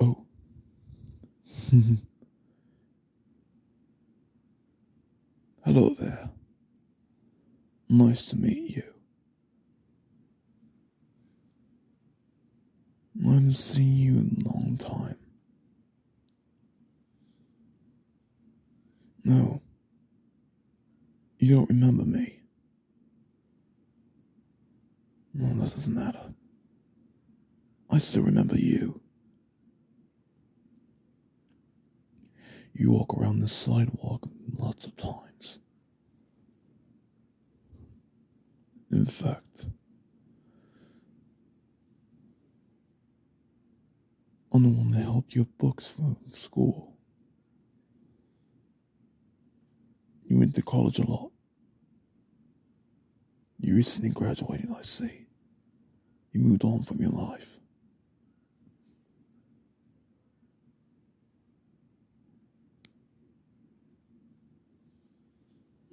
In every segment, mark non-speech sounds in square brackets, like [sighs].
oh. [laughs] Hello there. Nice to meet you. I haven't seen you in a long time. No, you don't remember me. No, that doesn't matter. I still remember you. You walk around the sidewalk lots of times. In fact, I'm the one that helped you books from school. You went to college a lot. You recently graduated, I see. You moved on from your life.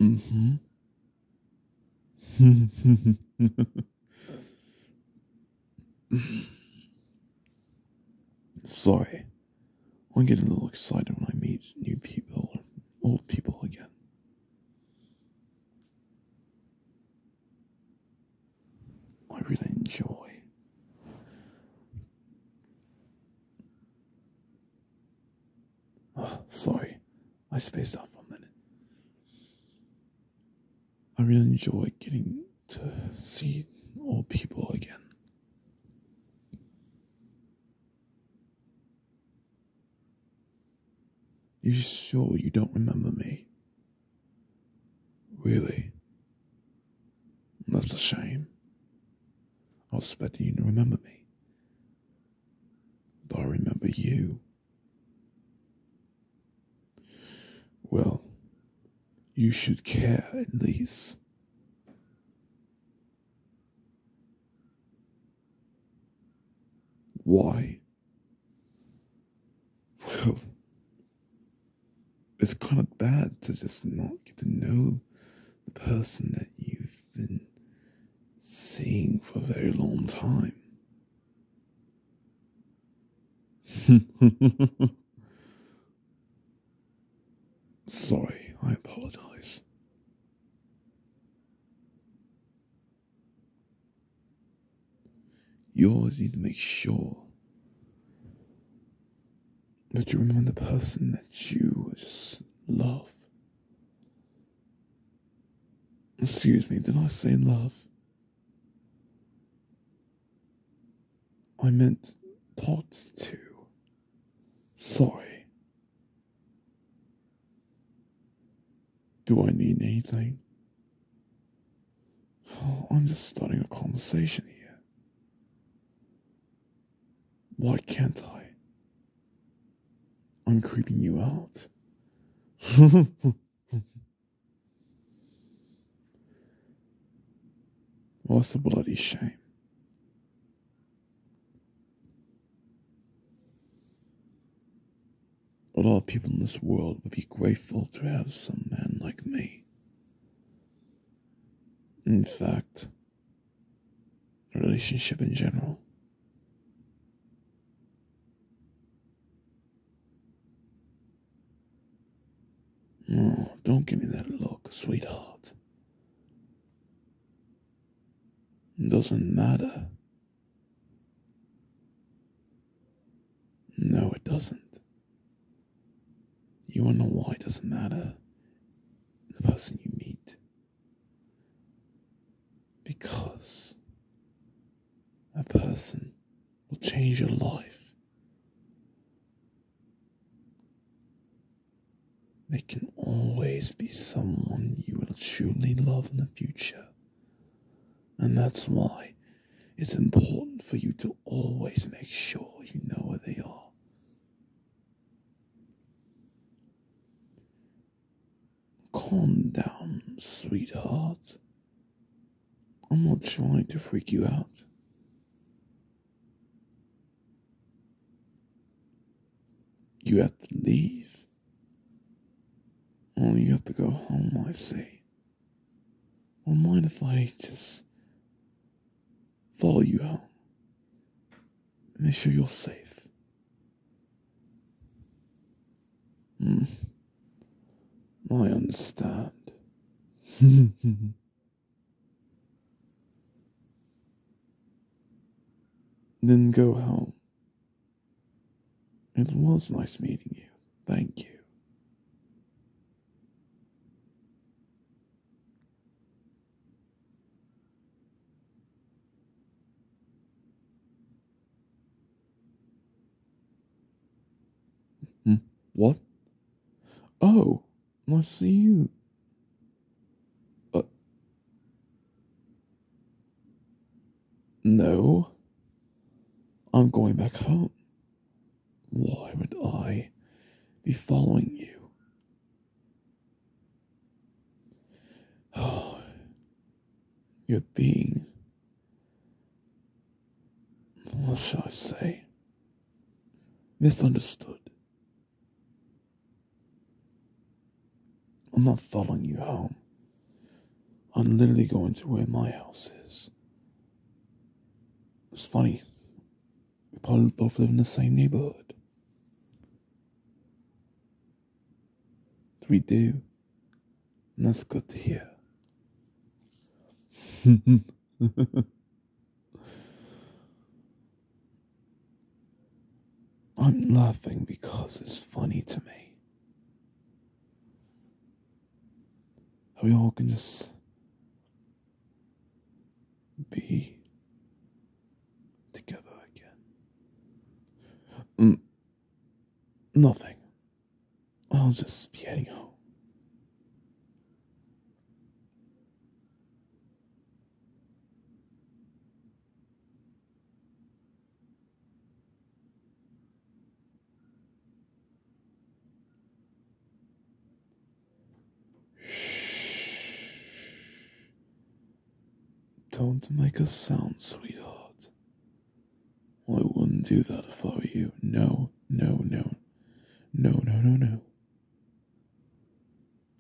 Mm hmm. [laughs] Sorry. I get a little excited when I meet new people or old people again. I really enjoy Oh, sorry. I spaced out for a minute. I really enjoy getting to see old people again. You sure you don't remember me? Really? That's a shame. I was expecting you to remember me. But I remember you. Well, you should care at least. Why? Well, it's kind of bad to just not get to know the person that you've been seeing for a very long time. [laughs] Sorry, I apologize. You always need to make sure but you remember the person that you just love. Excuse me, did I say love? I meant thoughts too. Sorry. Do I need anything? [sighs] I'm just starting a conversation here. Why can't I? I'm creeping you out. [laughs] What's the bloody shame? A all of people in this world would be grateful to have some man like me. In fact, a relationship in general. don't give me that look, sweetheart. It doesn't matter. No, it doesn't. You wanna know why it doesn't matter? The person you meet. Because a person will change your life. There can always be someone you will truly love in the future. And that's why it's important for you to always make sure you know where they are Calm down, sweetheart. I'm not trying to freak you out. You have to leave. Or you have to go home, I say. Or mind if I just follow you home make sure you're safe. Hmm. I understand. [laughs] then go home. It was nice meeting you. Thank you. Hmm? What? Oh, I see you. Uh, no. I'm going back home. Why would I be following you? [sighs] Your being. What shall I say? Misunderstood. I'm not following you home. I'm literally going to where my house is. It's funny. We probably both live in the same neighborhood. We do. And that's good to hear. [laughs] I'm laughing because it's funny to me. we all can just be together again. Mm, nothing. I'll just be heading home. Shh. Don't make a sound, sweetheart. I wouldn't do that if I were you. No, no, no. No, no, no, no.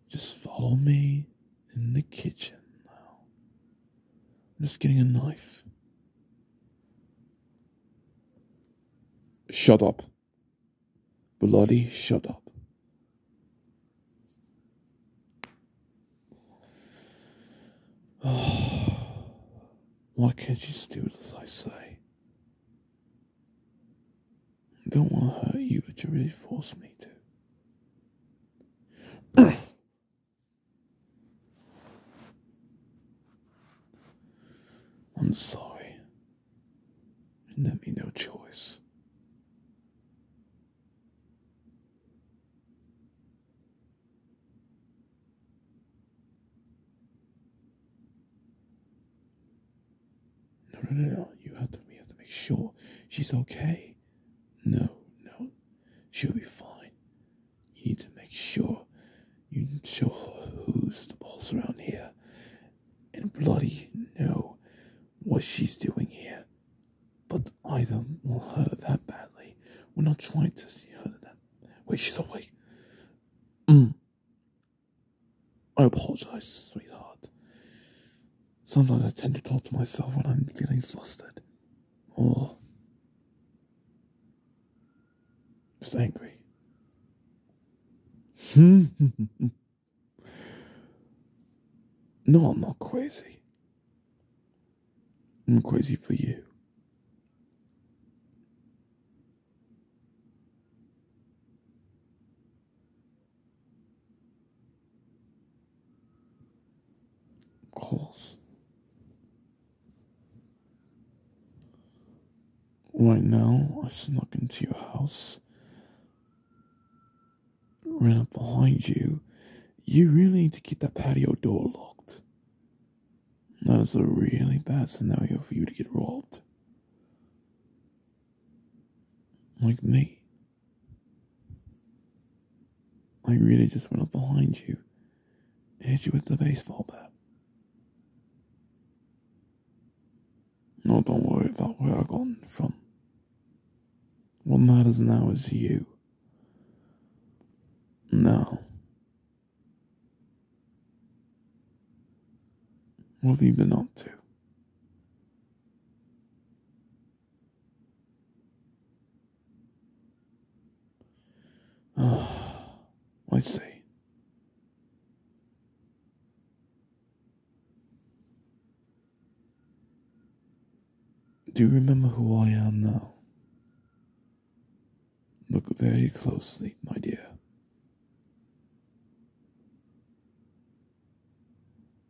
Just follow me in the kitchen now. I'm just getting a knife. Shut up. Bloody shut up. [sighs] Why can't you just do as I say? I don't want to hurt you, but you really force me to. [coughs] I'm sorry and let me no choice. No, no, no, no. You have to. We have to make sure she's okay. No, no, she'll be fine. You need to make sure you show who's the boss around here. And bloody know what she's doing here. But I don't want her that badly. We're not trying to see that. Wait, she's awake. Mm. I apologize, sweetheart. Sometimes I tend to talk to myself when I'm feeling flustered. Or just angry. [laughs] no, I'm not crazy. I'm crazy for you. Of course. Right now, I snuck into your house, ran up behind you. You really need to keep that patio door locked. That is a really bad scenario for you to get robbed. Like me. I really just went up behind you hit you with the baseball bat. No, don't worry about where I have gone from. What matters now is you. Now, what have you been up to? Oh, I see. Do you remember who I am now? Look very closely, my dear.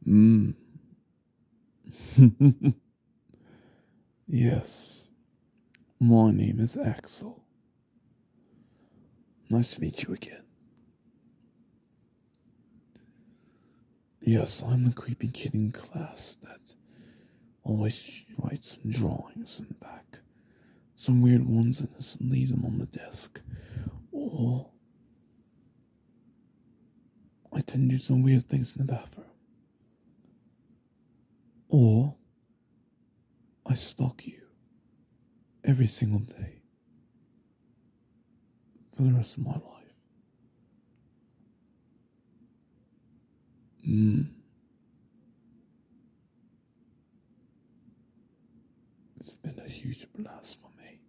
Hmm. [laughs] yes, my name is Axel. Nice to meet you again. Yes, I'm the creepy kid in class that always writes some drawings in the back, some weird ones, and leaves them on the desk. Or I tend to do some weird things in the bathroom. Or I stalk you every single day for the rest of my life. Hmm. It's been a huge blast for me.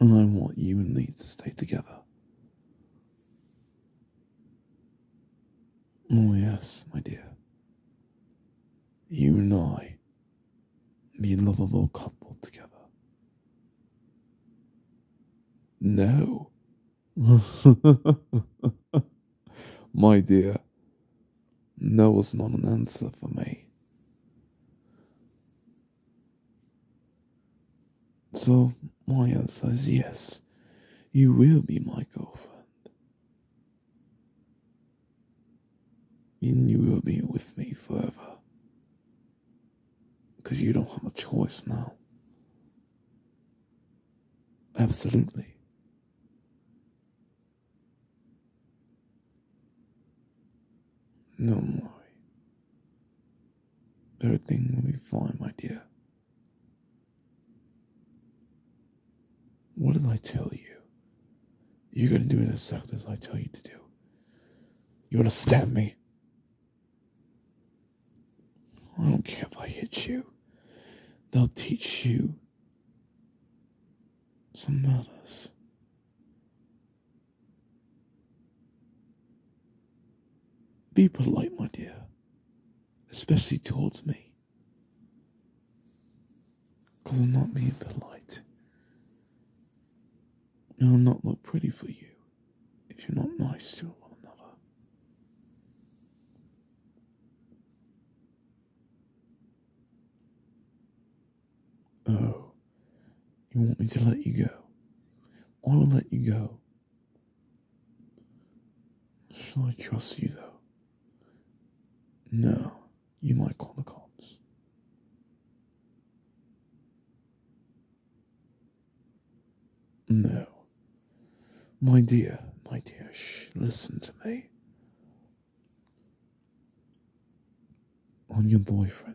And I want you and me to stay together. Oh, yes, my dear. You and I, be a lovable couple together. No. [laughs] my dear, no was not an answer for me. So my answer is yes, you will be my girlfriend. And you will be with me forever. Because you don't have a choice now. Absolutely. Don't worry. Everything will be fine, my dear. What did I tell you? You're gonna do exactly as I tell you to do. You are going to stab me? I don't care if I hit you. They'll teach you some manners. Be polite, my dear, especially towards me. I'm not being polite. And I'll not look pretty for you if you're not nice to one another. Oh, you want me to let you go? I'll let you go. Shall I trust you though? No, you might call the cops. No. My dear, my dear, shh, listen to me. I'm your boyfriend.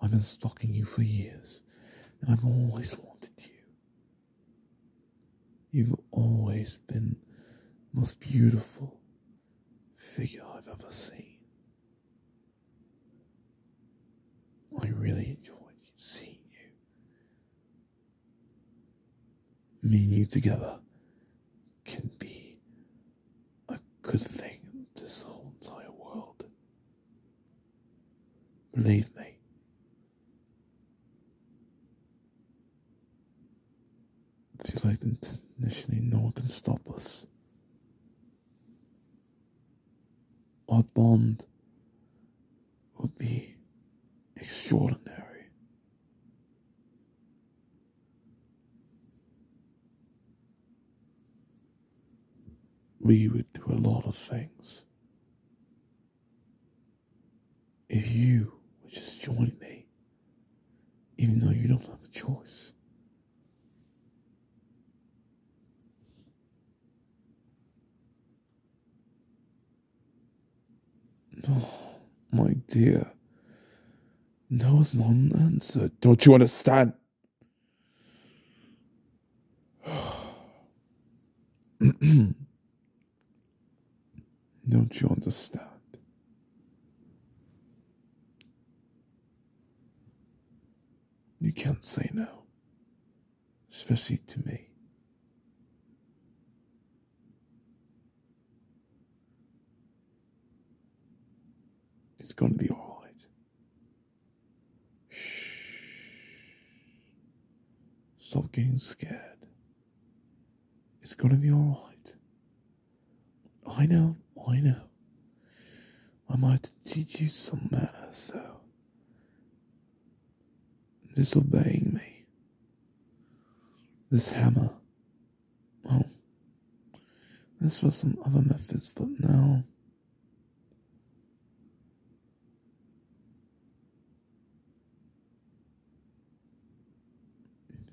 I've been stalking you for years, and I've always wanted you. You've always been the most beautiful figure I've ever seen. I really enjoyed seeing you. Me and you together can be a good thing in this whole entire world. Believe me. If you like initially, no one can stop us. Our bond would be extraordinary. We would do a lot of things if you would just join me, even though you don't have a choice. Oh, my dear, that was not answer. Don't you understand? [clears throat] Don't you understand? You can't say no, especially to me. It's going to be all right. Shh. Stop getting scared. It's going to be all right. I know, I know. I might teach you some manners, though. Disobeying me. This hammer Oh, this was some other methods, but now.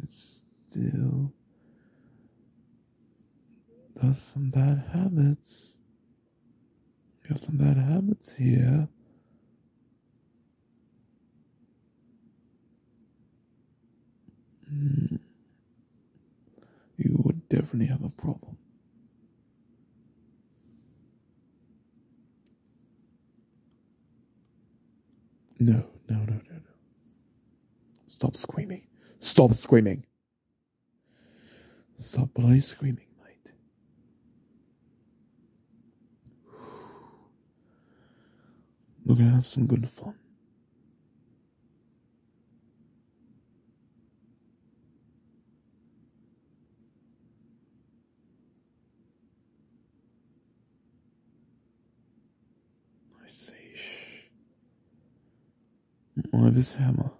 It's still does some bad habits. have some bad habits here. Mm. you would definitely have a problem. No, no, no, no, no. Stop screaming. Stop screaming. Stop bloody screaming, mate. We're gonna have some good fun. I say, shh. I this hammer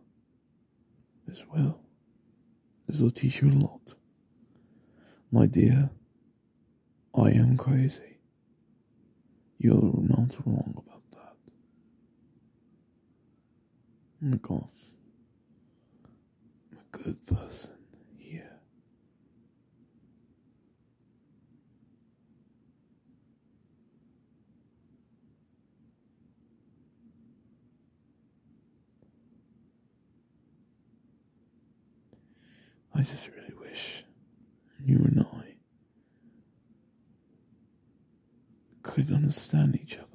as well. This will teach you a lot. My dear, I am crazy. You're not wrong about that. I'm a good person here. I just really wish you and I could understand each other.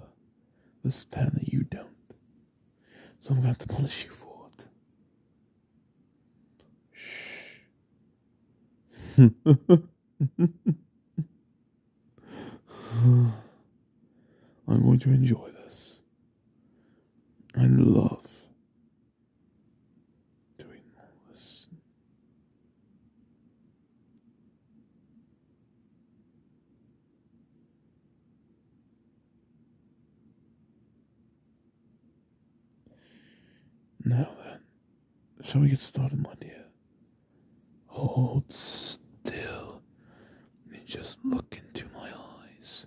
Understand that you don't. So I'm going to have to punish you for it. Shh. I'm going to enjoy this. and love doing all this. Now then, shall we get started, my dear? Hold still and just look into my eyes.